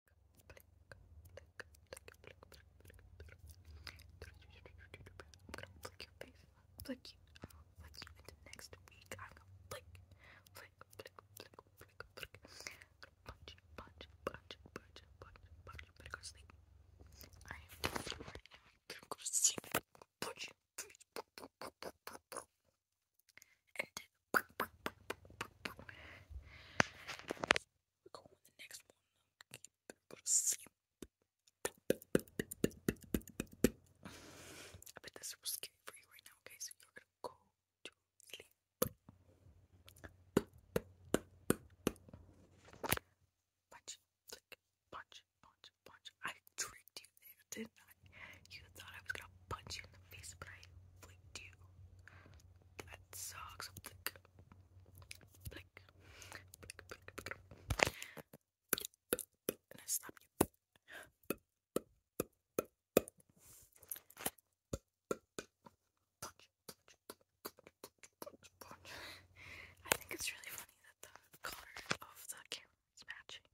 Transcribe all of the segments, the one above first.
gonna flick your face, flick you, flick you into next week. I'm gonna flick, flick, flick, flick, flick, flick. I'm gonna punch, punch, punch, punch, punch, punch. Better go to sleep. I am right now. Better go to sleep. Punch your face. I bet that's super scary for you right now, okay? So you're gonna go Punch, punch, punch, punch. I tricked you there, didn't I? You thought I was gonna punch you in the face, but I flicked you. That sucks. I think it's really funny that the color of the camera is matching.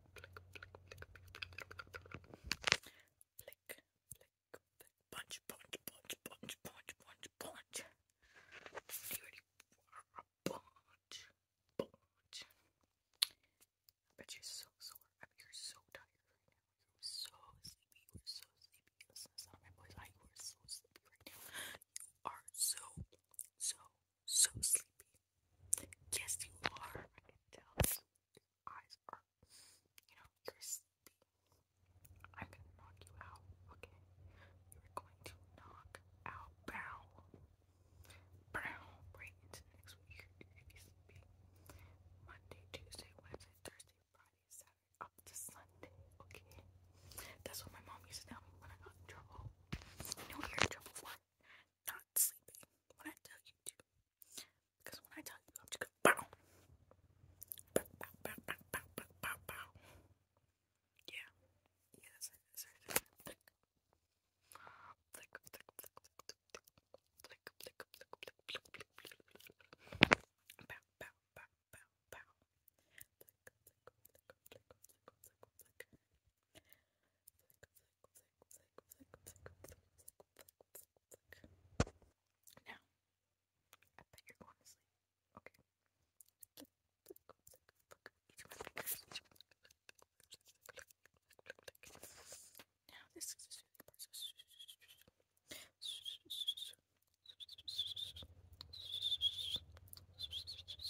flick, flick, flick, flick, flick, punch, punch, punch, punch, punch, punch, punch. you ready punch? Punch. I bet you're so sore. I bet you're so tired right now. You're so sleepy. You're so sleepy. Listen, my voice. I you are so sleepy right now. You are so, so, so sleepy. Yes, you are. I can tell. Your eyes are, you know, you're sleepy. I'm gonna knock you out, okay? You're going to knock out. Bow. Bow. Right into next week. You're sleepy. Monday, Tuesday, Wednesday, Thursday, Friday, Saturday, up to Sunday, okay? That's what my mom used to tell me when I got in trouble. You know trouble for? not sleeping when I tell you to. Because when I tell you, I'm just going bow. Bow, bow, bow, bow, bow, bow, bow, bow. Yeah. Yeah, that's it. That's it. Flick. Flick, flick, flick, flick, flick, flick, flick, flick, flick, flick, flick, flick, flick. Bow, bow, bow, bow, bow. Flick, flick, flick, flick, flick, flick, flick. Now, I bet you're going to sleep. Okay. Now, this is the process.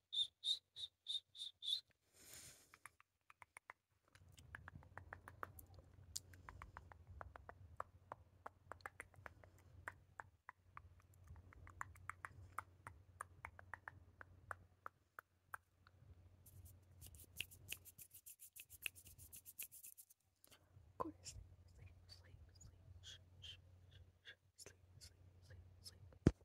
Go to sleep, sleep, sleep, sleep, sleep, sleep, sleep, sleep, sleep, sleep.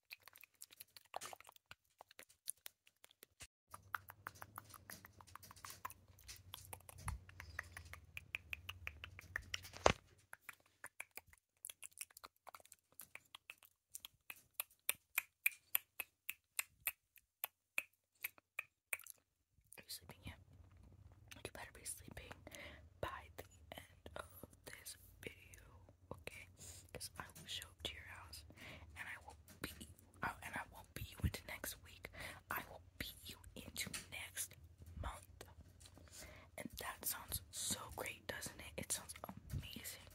Are you sleeping yet? You better be sleeping by the end of this video, okay? Because I will show up to your house and I will beat uh, and I will beat you into next week. I will beat you into next month. And that sounds so great, doesn't it? It sounds amazing.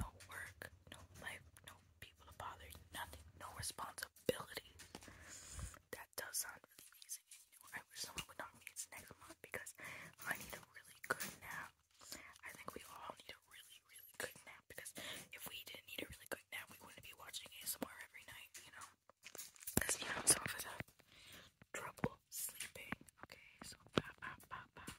No work, no life, no people to bother, nothing, no responsibility. That does sound I wish someone would not me it's next month because I need a really good nap. I think we all need a really, really good nap because if we didn't need a really good nap, we wouldn't be watching ASMR every night, you know? Because, you know, some of us have trouble sleeping. Okay, so bah, bah, bah, bah.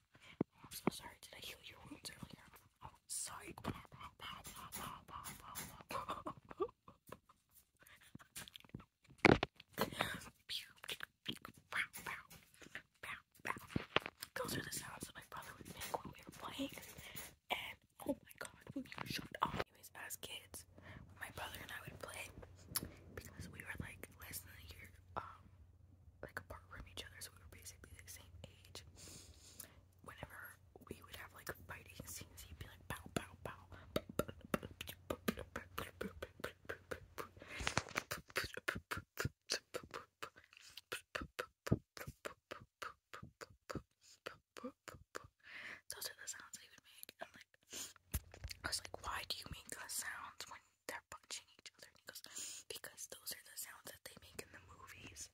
I'm so sorry. Did I heal your wounds earlier? Oh, sorry. Bah, bah, bah, bah, bah, those are the sounds that my brother would make when we were playing. And oh my god, would you shut up? Anyways, as kids, when my brother and I would play, because we were like less than a year um like apart from each other, so we were basically the same age. Whenever we would have like fighting scenes, he'd be like pow pow pow those are the sounds they would make. And like, I was like, why do you make those sounds when they're punching each other? he goes, because those are the sounds that they make in the movies.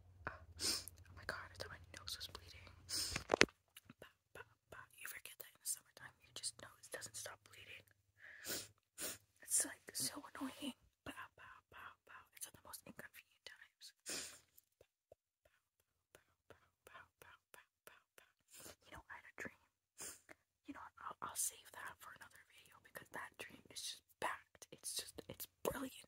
oh my god, my nose was bleeding. you forget that in the summertime, your just nose doesn't stop bleeding. It's like so annoying. Bow, bow, bow, the most inconvenient times. You know, I had a dream. You know, I'll save that for another video because that dream is just packed. It's just, it's brilliant.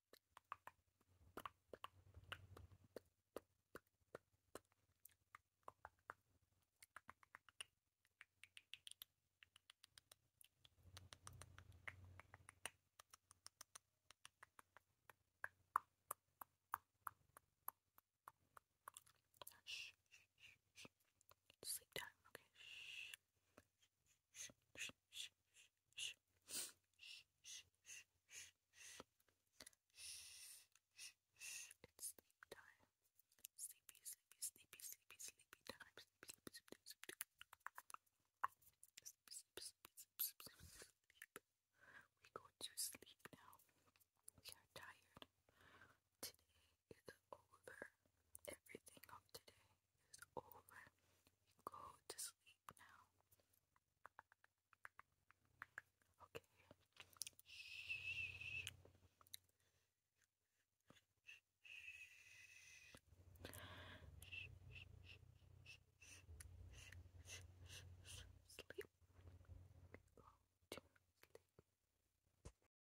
Shh, shh, shh, shh. Sleep time, okay? Shh. It's sleep time. Sleepy, sleepy, sleepy, sleepy, sleepy time. Sleepy, sleepy, sleepy, sleepy, sleepy, sleepy, sleepy, sleep. We go to sleep now. We are tired. Today is over. Everything of today is over. go to sleep now. Okay. Shh. Sleep. Go to sleep.